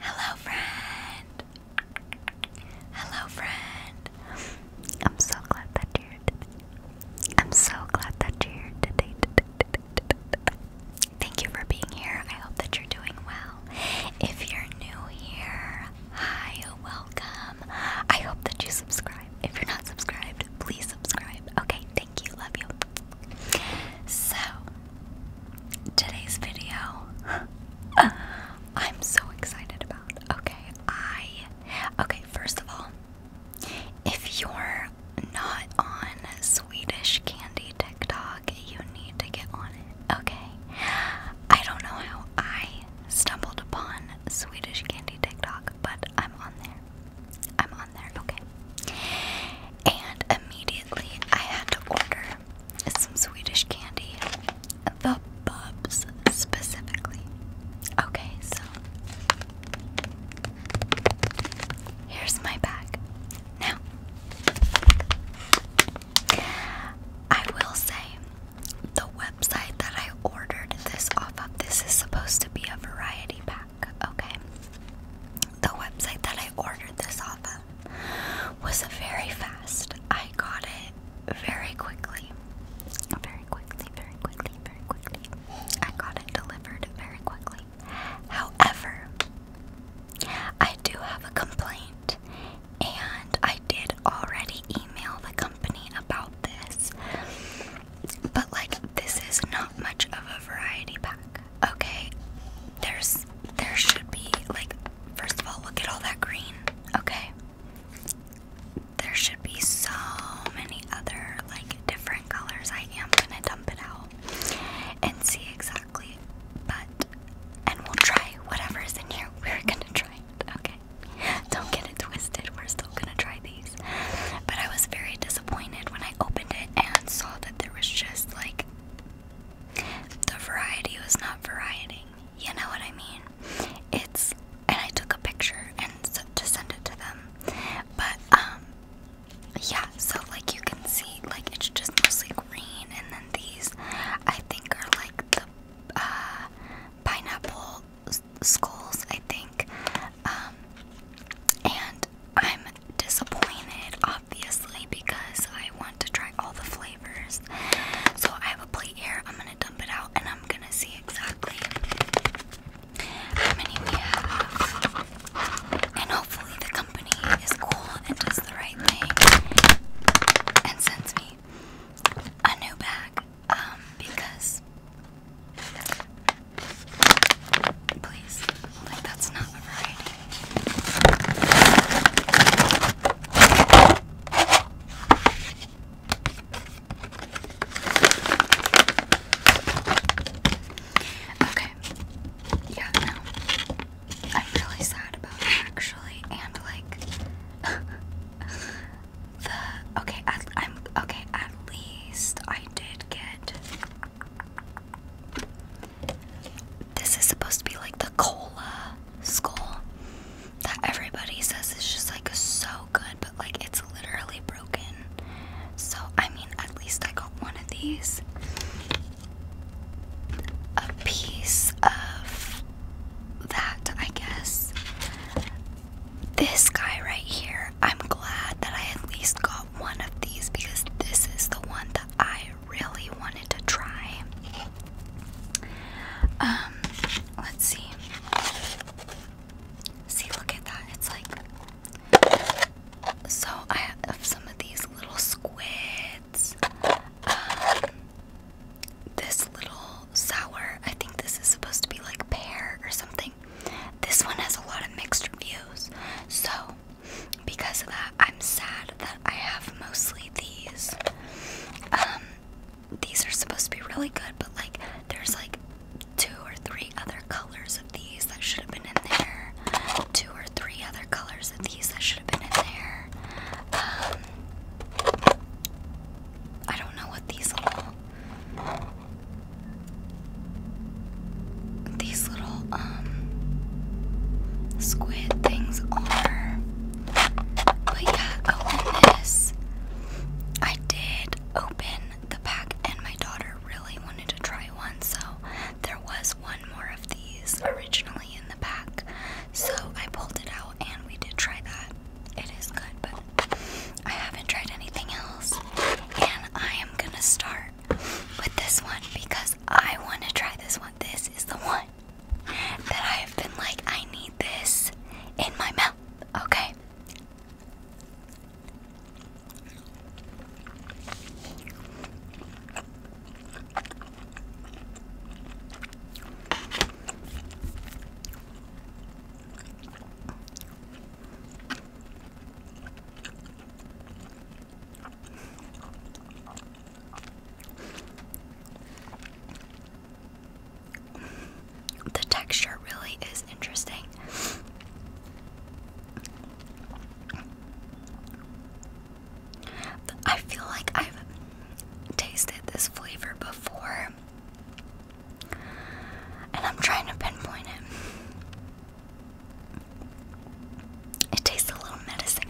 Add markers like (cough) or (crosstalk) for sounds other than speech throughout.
Hello, friend. Hello, friend. I'm so glad that you're here today. I'm so glad that you Thank you for being here. I hope that you're doing well. If you're new here, hi, welcome. I hope that you subscribe. If you're not subscribed, please subscribe. Okay, thank you. Love you. So, today's video (laughs) I'm so excited about. Okay, I okay, first of all, if you're not on Swedish candy TikTok, you need to get on it. Okay. I don't know how I stumbled upon Swedish candy TikTok, but I'm on there. I'm on there, okay. And immediately I had to order here is some Swedish candy. The Bubs specifically. Okay, so here's my bag. Now, I will say the website that I ordered this off of, this is supposed to be a variety pack, okay? The website that I ordered this off of. (laughs) was very fast. I got it very quickly. Very quickly, very quickly, very quickly. I got it delivered very quickly. However, I do have a complaint, and I did already email the company about this. But, like, this is not much of a variety pack. Okay, there's there should be like first of all look at all that green. Okay. There should be so many other like different colors. I am gonna dump it out and see exactly but and we'll try whatever is in here. We're gonna try it. Okay. Don't get it twisted. We're still gonna try these. But I was very disappointed when I opened it and saw that there was just like the variety was not varieting. You know what I mean? It's and I took a picture and to send it to them. But um yeah, so like you can see like it's just mostly green and then these I think are like the uh pineapple skulls, I think. Um and I'm disappointed, obviously, because I want to try all the flavors. So I have a plate here. I'm gonna dump it out and I'm gonna see exactly how many we have. And hopefully, the company is cool and does the right thing and sends me a new bag um, because please. Like, that's not a variety. Okay. Yeah, no. I'm really sad about it, actually, and like (laughs) the okay. I'm okay. At least I did get this is supposed to be like the cola skull that everybody says is just like so good, but like it's literally broken. So, I mean, at least I got one of these. A piece of that, I guess. This guy right here, I'm glad that I at least got one of these because this is the one that I really wanted to try. Um, let's see. See, look at that. It's like so. I have some of these little squids. Um, this little sour. I think this is supposed to be like pear or something. This one has a lot of mixed reviews. So because of that, I'm sad that I have mostly these. Um, these are supposed to be really good, but like there's like two or three other colors of these that should have been in there. Two or three other colors of these that should have been in there. Um, I don't know what these all these little um squid things are. But yeah, open oh, this. I did open the pack and my daughter really wanted to try one, so there was one more of these originally in the pack. So I pulled it out and we did try that. It is good, but I haven't tried anything else. And I am gonna start with this one because I want to try this one. This is the one that I have been like, I need this in my mouth, okay? The texture really is interesting. I feel like I've tasted this flavor before, and I'm trying to pinpoint it. It tastes a little medicine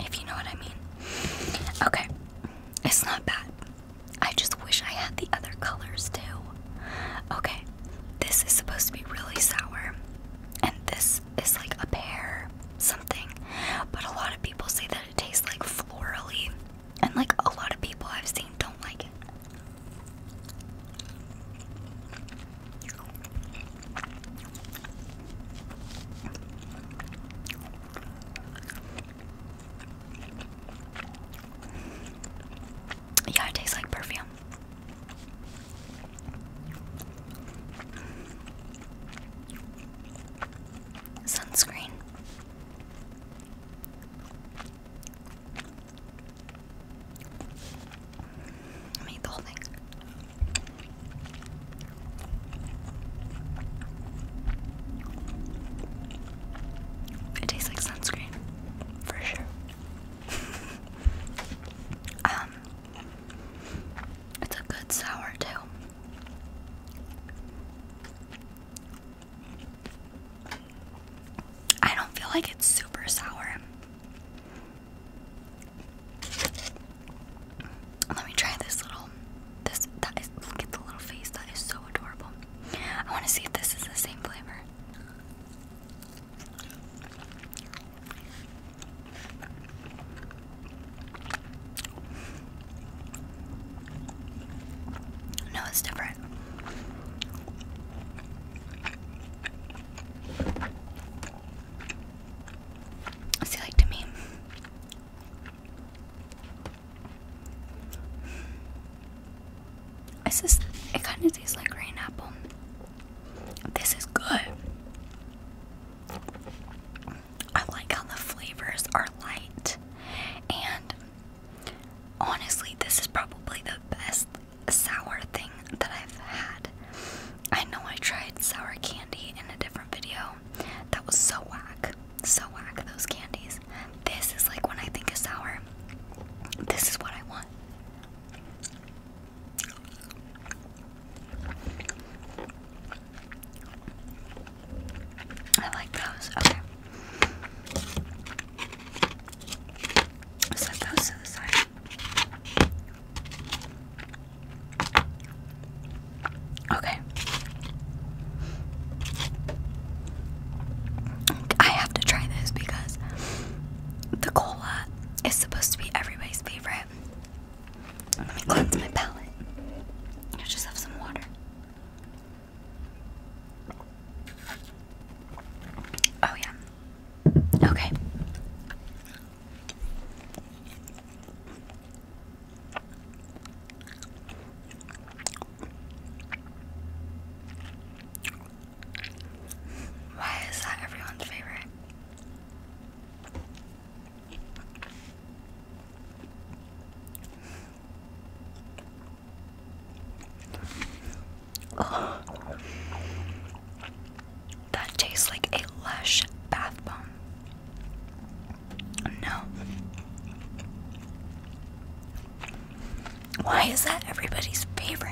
if you know what I mean. Okay, it's not bad. I just wish I had the other colors too. Okay, this is supposed to be really sour, and this is like a pear something, but a lot of people say that it tastes like florally, and like a lot of people I've seen don't like it. Yeah, it tastes like perfume. Sunscreen. I made the whole thing. It tastes like sunscreen, for sure. (laughs) um, it's a good sour too. I don't feel like it's super sour. Let me try this little. This that is look at the little face. That is so adorable. I want to see if this is the same flavor. No, it's different. See, like to me. It's just, it kind of tastes like green apple. This is good. I like how the flavors are light. And honestly, this is probably the best sour thing that I've had. I know I tried sour candy in a different video. That was so whack. So whack, those candies. This is like when I think of sour, this is what I want. I like those. Okay. Set those to the side. Okay. I have to try this because the cola is supposed to be everybody's favorite. Let me cleanse my palate. I just have some water. Oh, yeah. Okay. Why is that everyone's favorite? That tastes like a lush bath bomb. No. Why is that everybody's favorite?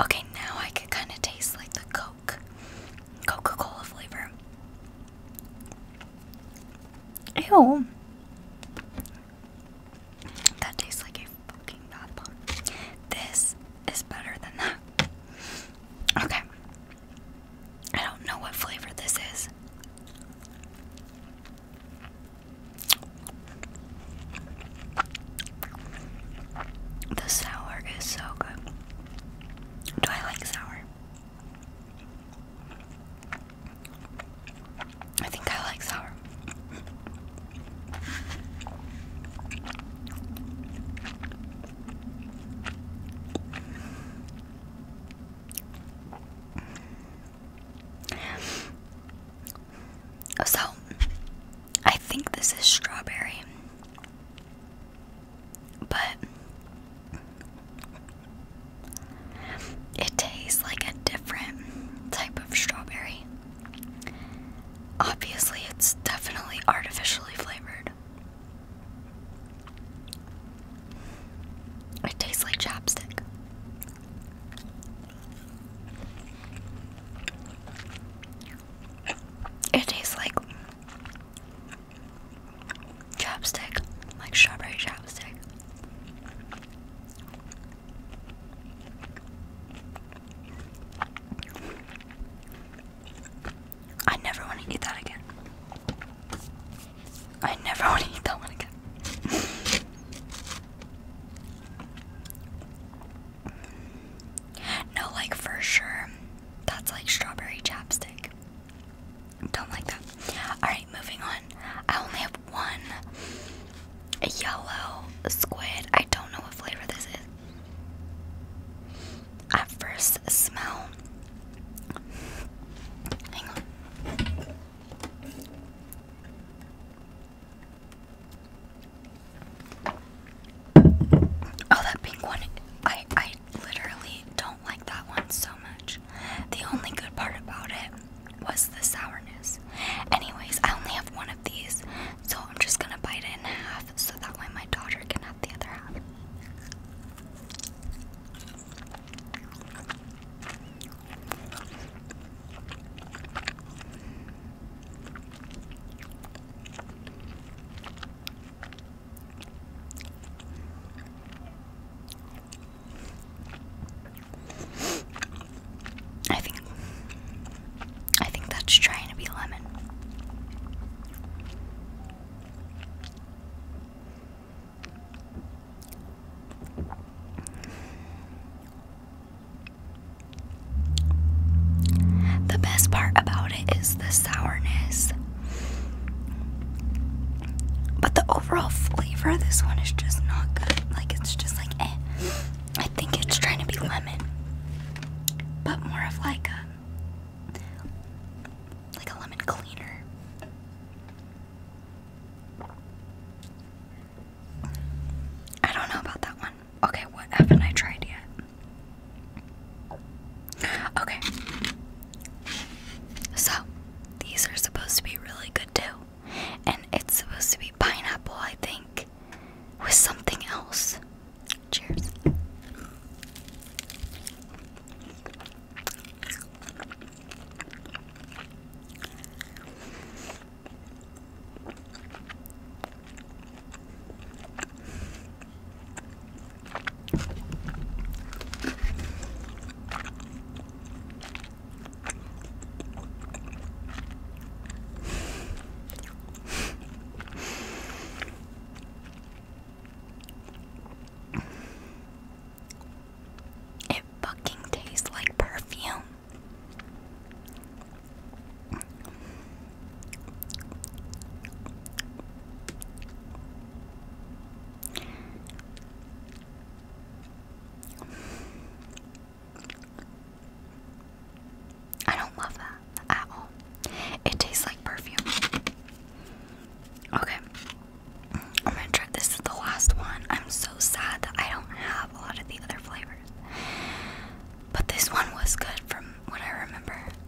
Okay, now I can kind of taste like the Coca Cola flavor. Ew. That tastes like a fucking bath bomb. This is better than that. Okay. I don't know what flavor this is. The sour is so good. Do I like sour? I think I like sour. Oh, so, I think this is strawberry. But it tastes like a different type of strawberry. Obviously, it's definitely artificially flavored. It tastes like chapstick. It tastes like chapstick, like strawberry chapstick. I never want to eat that again. I never (laughs) want to eat that again. (laughs) no, like for sure, that's like strawberry chapstick. Don't like that. Alright, moving on. I only have one yellow squid. I don't know what flavor this is. At first smell. Hang on. Oh, that pink one. I I literally don't like that one so much. The only good part about it was the sourness. Anyways, I only have one of these, so I'm just gonna bite it in half so that way my daughter can have the other half. I think I think that's trying to be lemon. The best part about it is the sourness. But the overall flavor of this one is just not good. Like, it's just like, eh. I think it's trying to be lemon, but more of like a, like a lemon cleaner. I don't know about that one. Okay, what haven't I tried yet? Okay. So, these are supposed to be really good too. And it's supposed to be pineapple, I think, with something else. Cheers. It fucking tastes like perfume. I don't love that at all. It tastes like perfume. Okay. I'm gonna try this is the last one. I'm so sad that I don't have a lot of the other flavors. But this one was good from what I remember.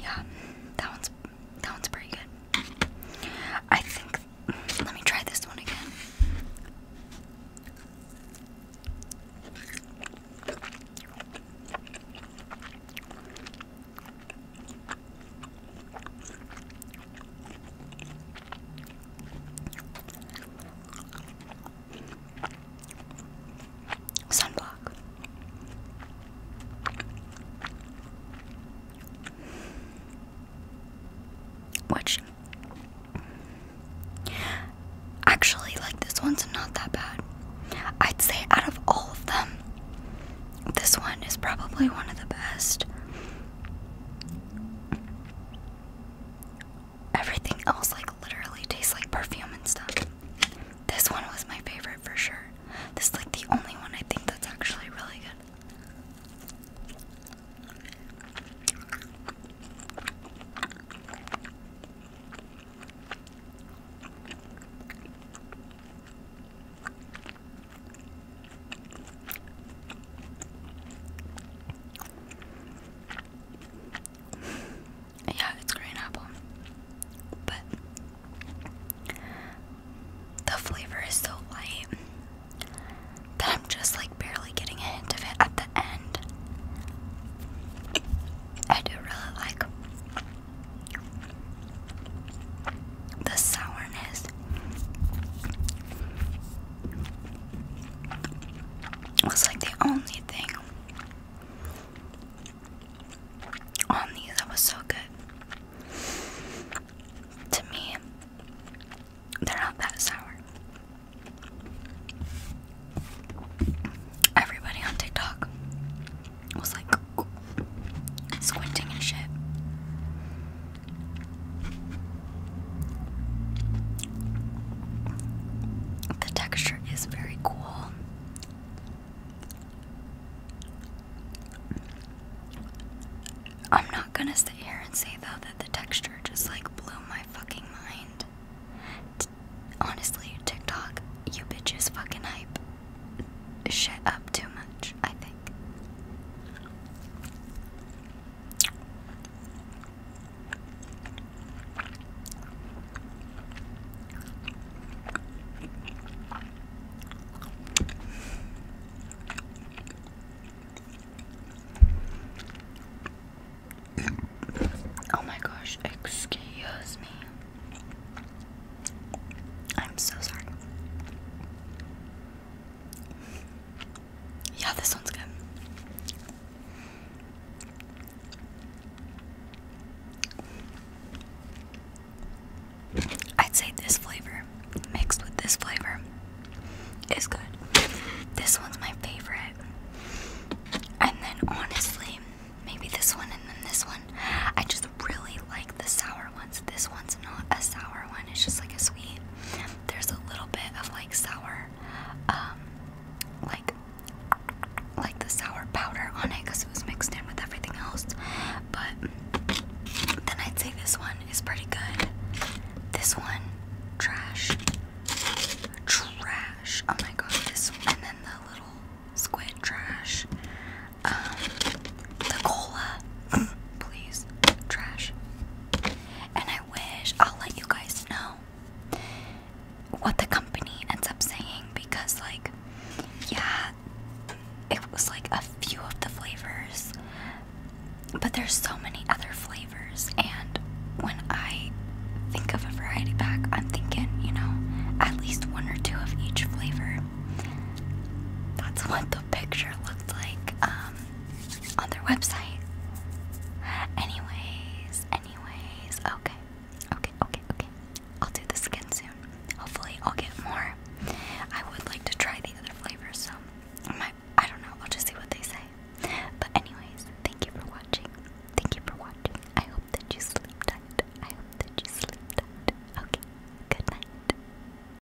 Yeah, that one's that one's pretty good. I think let me try this one again. Sunblock. Which actually like this one's not that bad. I'd say out of all of them, this one is probably one of the best. Everything else, like, literally tastes like perfume and stuff. This one was my favorite for sure. This is like the only one I think that's actually really good yeah, it's green apple, but the flavor is so light that I'm just like barely getting a hint of it at the end. I do really like the sourness. Was like the only thing on these that was so good. To me, they're not that sour. Everybody on TikTok was like squinting and shit. The texture is very cool. I'm not gonna sit here and say though that the texture just like blew my fucking mind. honestly, TikTok, you bitches fucking hype shit up too much, I think. Oh my gosh, excuse me. I'm so sorry. Yeah, this one's good. I'd say this flavor mixed with this flavor is good. This one's my favorite. And then honestly, maybe this one and then this one. I just really like the sour this one's not a sour one, it's just like a sweet. There's a little bit of like sour, um, like like the sour powder on it because it was mixed in with everything else. But then I'd say this one is pretty good. This one, trash. Trash. Oh my god, this one. And then the little squid trash. Um, the cola please, trash. And I wish I'll let you guys know what the company ends up saying because, like, yeah, it was like a few of the flavors, but there's so many other flavors. And when I think of a variety pack, I'm thinking, you know, at least one or two of each flavor. That's what the picture looked like. Um, on their website. Anyways, anyways, okay. Okay, okay, okay. I'll do this again soon. Hopefully, I'll get more. I would like to try the other flavors, so I might, I don't know. I'll just see what they say. But, anyways, thank you for watching. Thank you for watching. I hope that you sleep tight. I hope that you sleep Okay, good night.